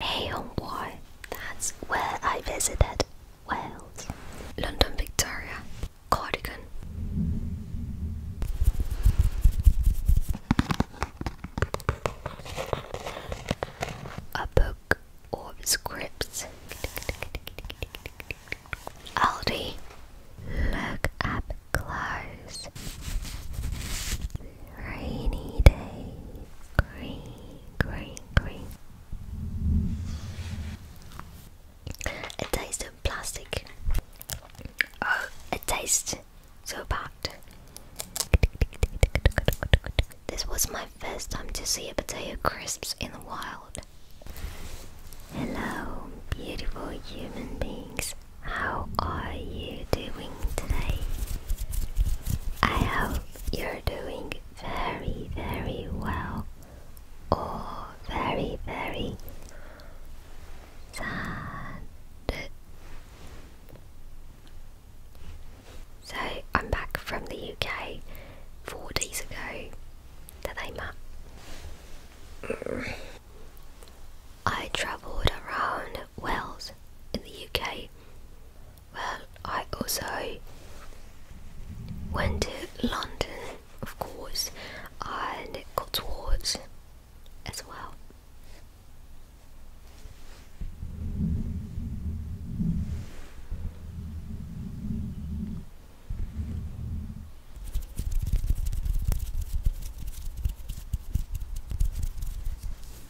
Hey homeboy, that's where I visited Wales, London Victoria, Cardigan. A book of scripts. Aldi, look up close rainy day. Green, green, green. A taste of plastic. Oh, a taste so bad. This was my first time to see a potato crisps in the wild. Hello, beautiful human beings. How are you doing today? I hope you're doing very, very well or oh, very, very sad. So, I'm back from the UK four days ago. Today, Matt. I travelled around Wales in the UK well, I also went to London, of course, and got towards as well.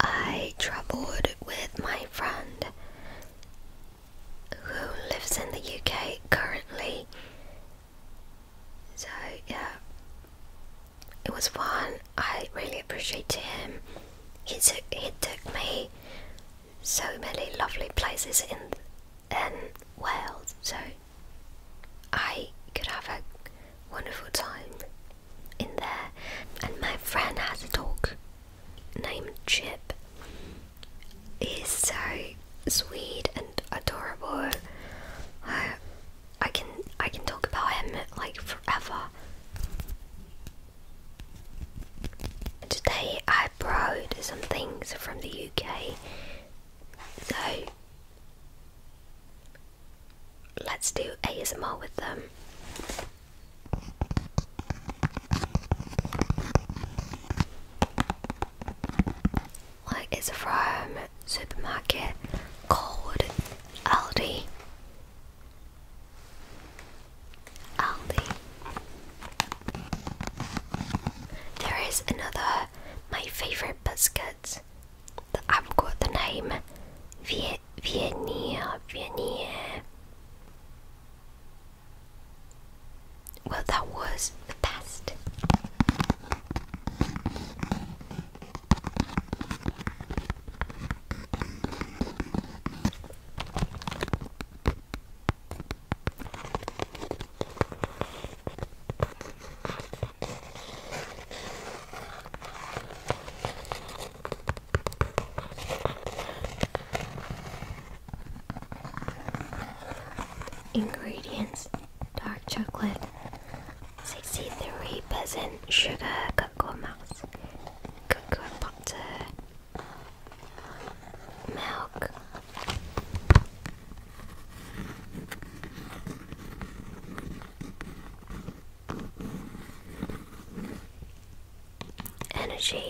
I traveled with my friend who lives in the UK currently. So, yeah, it was fun. I really appreciate him. He took, he took me so many lovely places in in Wales, so I could have a wonderful time in there. And my friend has a dog named Chip. He's so sweet and adorable. I can I can talk about him like forever. Today I brought some things from the UK so let's do ASMR with them. Like it's from supermarket called Aldi. Aldi. There is another my favorite biscuit that I forgot the name. Vie Viennier Viennier. Well, that was the best. Ingredients dark chocolate, 63% sugar, cocoa mass, cocoa butter, milk. Energy.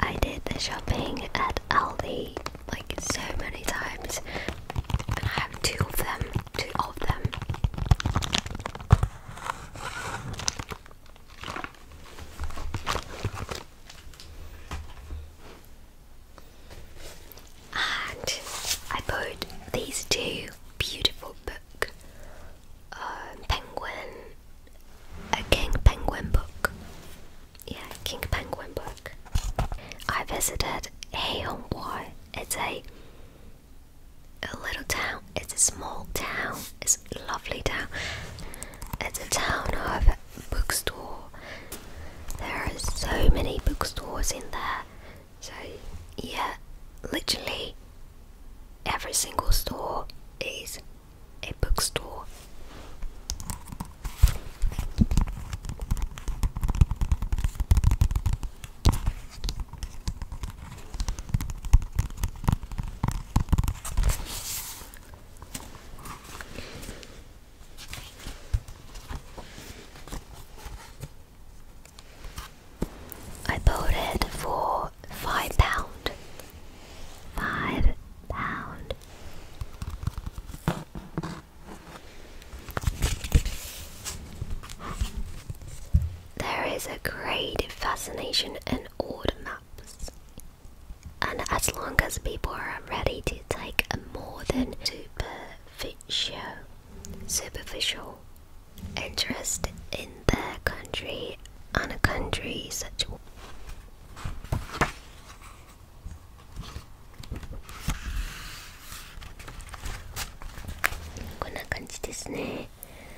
I did the shopping at Aldi like so many times, have two of them, two of them. And I bought these two beautiful book, um, penguin, a king penguin book. Yeah, king penguin book. I visited Heilongwai. It's a a little town. It's a small town. It's a lovely town. It's a town of bookstore. There are so many bookstores in there. So yeah, literally every single store is a bookstore. I bought it for five pound. Five pound. There is a great fascination in old maps and as long as people are ready to take a more than superficial, superficial interest in their country on a country such. こんな感じですね。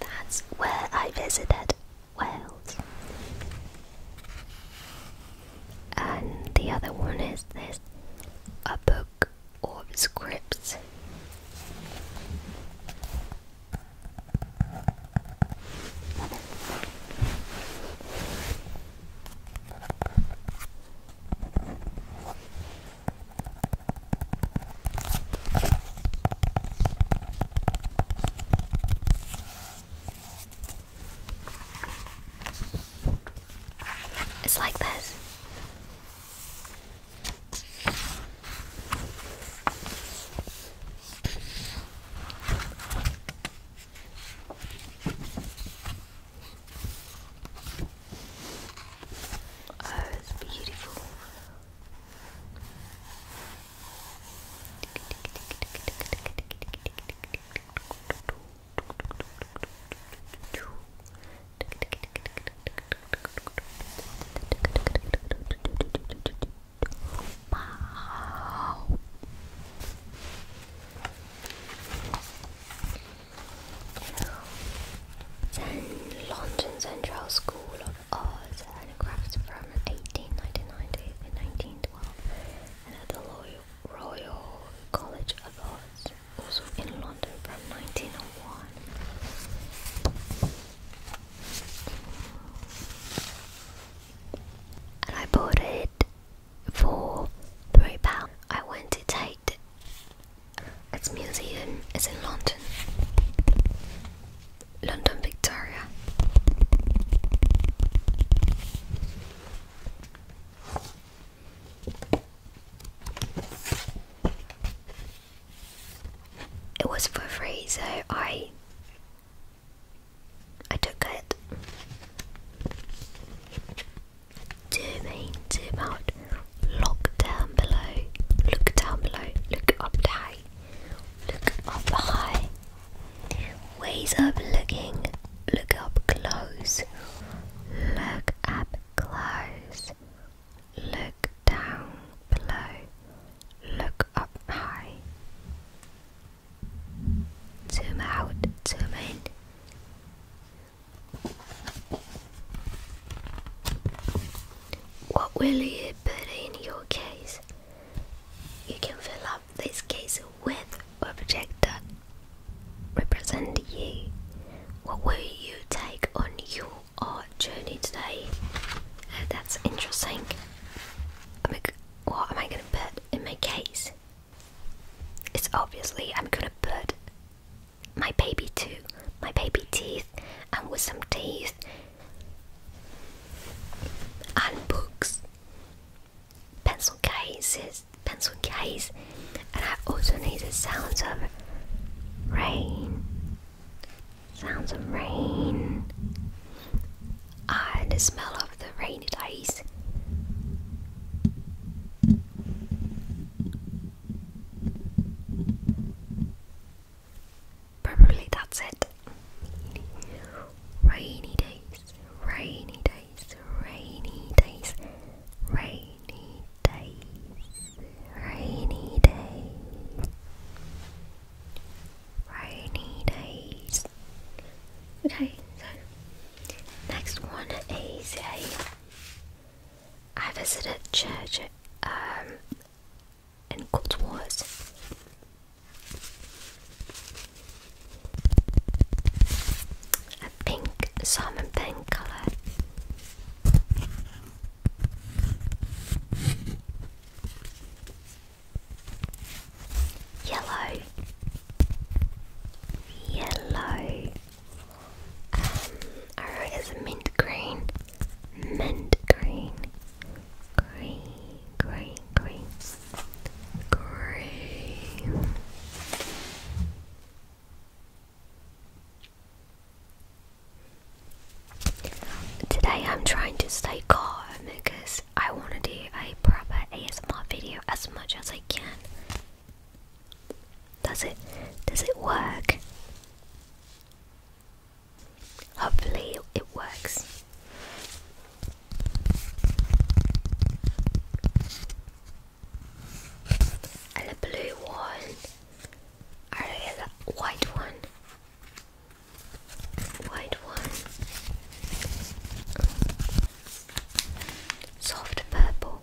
That's where I visited Wales. And the other one is this a book of scripts. It's like this. Oh, it's beautiful. Wow. Then London Central School Oz handicrafts from 1899 to 1912 and at the Royal, College of Arts, also in London from 1901. And I bought it for £3. I went to take its museum is in London, London Victoria. It was for free, so I I took it. Two main, two out. Look down below. Look down below. Look up high. Look up high. Ways of looking. Look up close. Look up close. Look down below. Look up high. Zoom out. Zoom in. What will you put in your case? You can fill up this case with a projector represent you. What will you take on your art journey today? Uh, that's interesting. I'm what am I going to put in my case? It's obviously I'm going to put my baby too, my baby teeth, and with some teeth and books, pencil cases, pencil cases, and I also need the sounds of rain, sounds of rain, ah, and the smell of the rainy days. Probably that's it. Rainy days, rainy days, rainy days, rainy days, rainy days, rainy days. Okay, so next one is a I visited church um, in Cotswold. A pink salmon pink colour. Yellow, yellow, um, is mint green. Mint green. Green, green, green. Green. Today I'm trying to stay calm because I want to do a proper ASMR video as much as I can. Does it does it work? Hopefully, it works. And a blue one, I oh, really the white one, white one, soft purple.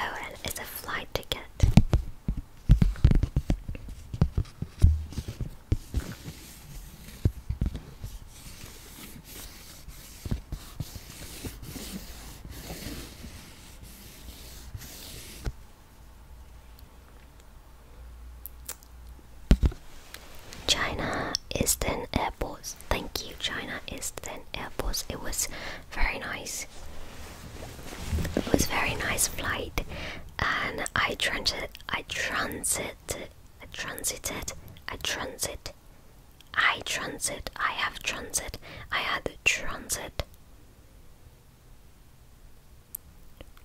Oh, and it's a flight ticket. China Eastern Airports. Thank you, China Eastern Airports. It was very nice. It was very nice flight, and I transit. I transit. I transited. I transit. I transit. I have transit. I had transit.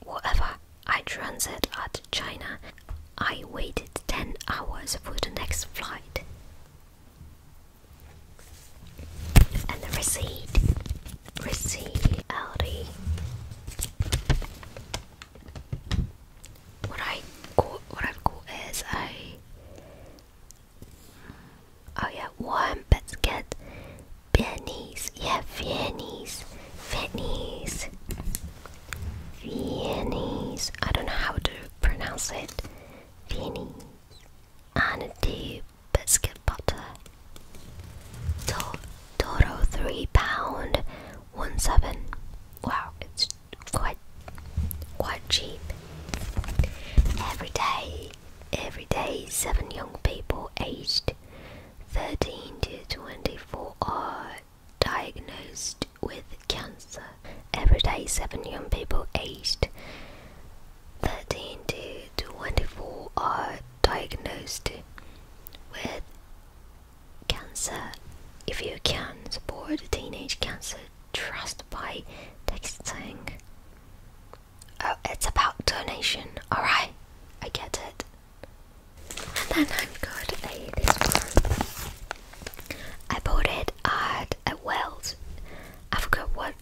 Whatever. I transit at China. I waited 10 hours for the next flight. And the receipt. Receipt. What I got, what I've got is a oh yeah, one basket, pennies, yeah, pennies, pennies, Viennese. I don't know how to pronounce it. Viennese. And the biscuit butter. To total three pound one seven. Wow, it's quite quite cheap. Every day, every day, seven young people aged 13 to 24 are diagnosed with cancer. Every day, seven young people aged 13 to 24 are diagnosed with cancer. If you can support Teenage Cancer Trust by texting, oh, it's about donation. Alright, I get it. And then I've got a this one. I bought it at a Wells. I forgot what.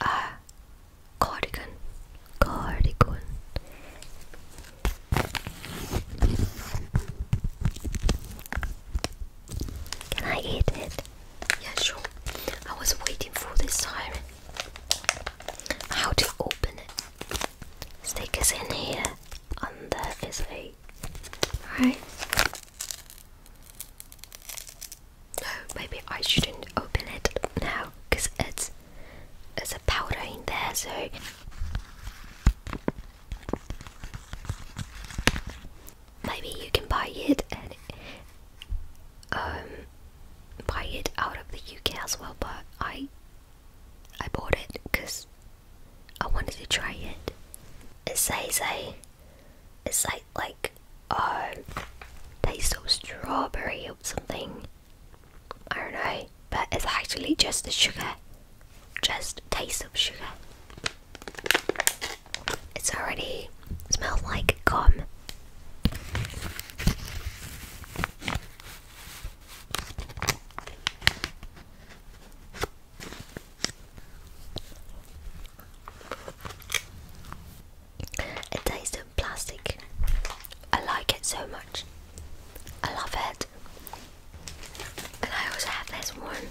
Ah, uh, cardigan, cardigan. Can I eat it? Yeah, sure. I was waiting for this time. How to open it? Stickers in here and there is a right. No, maybe I shouldn't open it now because it's there's a powder in there, so maybe you can buy it and um buy it out of the UK as well. But I I bought it because I wanted to try it. It says a, it like, oh, taste of strawberry or something. I don't know, but it's actually just the sugar, just taste of sugar. It's already smells like gum. It tastes of plastic. I like it so much. I love it. And I also have this one.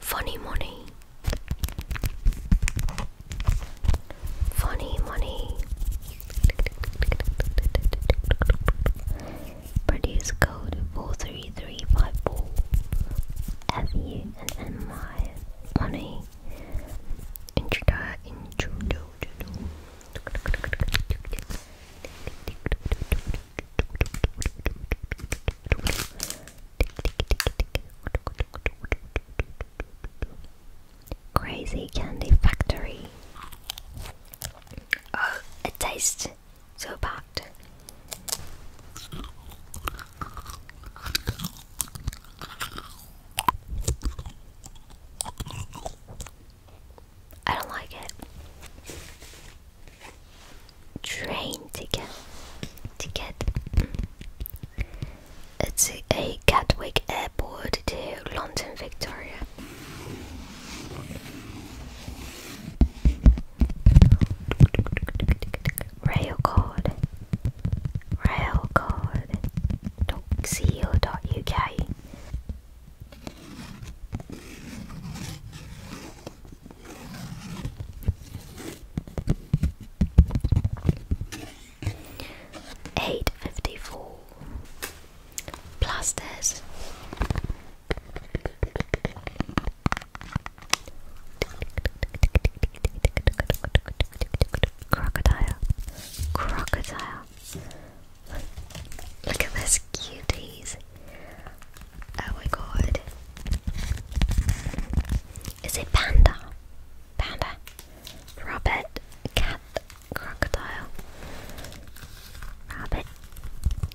Funny money. Funny money. Produce code 43354. F U N N Y money. Intro intro. Crazy Candy Factory. Oh, it tastes so bad. I don't like it. Train ticket, ticket. Mm. It's a Gatwick Airport to London Victoria. Rail card. Rail card. Eight fifty four plasters. Crocodile, crocodile. Look at this cuties. Oh my god. Is it panda? Panda. Rabbit, cat, crocodile. Rabbit,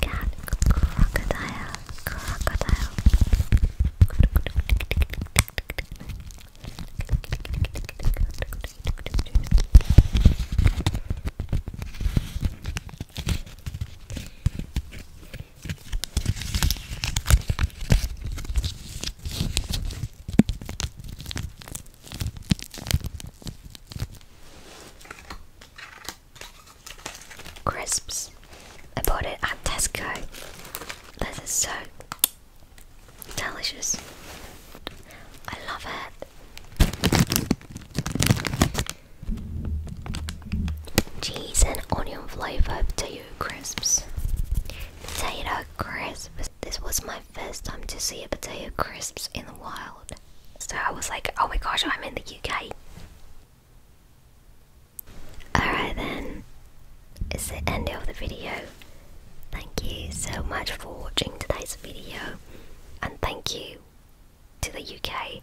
cat, crocodile, crocodile. Crisps. I bought it at Tesco. This is so delicious. I love it. Cheese and onion flavor to you crisps. Potato crisps. This was my first time to see a potato crisps in the wild. So I was like, oh my gosh, I'm in the UK. Alright then, it's the end of the video. Thank you so much for watching today's video and thank you to the UK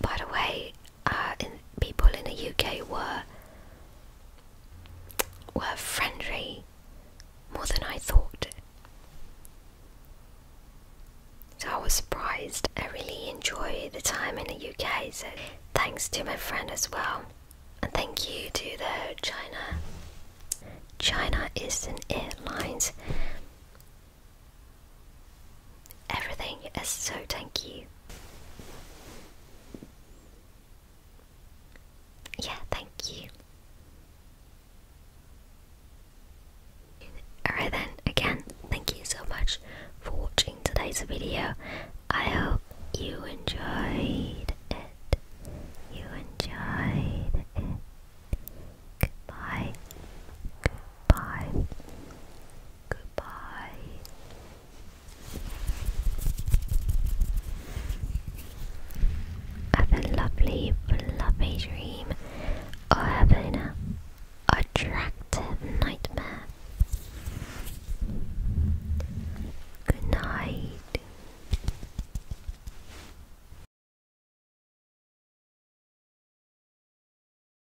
by the way, uh, people in the UK were were friendly more than I thought. So I was surprised. I really enjoy the time in the UK. So thanks to my friend as well, and thank you to the China China is Eastern Airlines. Everything is so tanky. Yeah, thank you. Alright then, again, thank you so much for watching today's video. I hope you enjoyed it. You enjoyed it. Goodbye. Goodbye. Goodbye. Have a lovely, lovely dream, or have an attractive nightmare. Good night.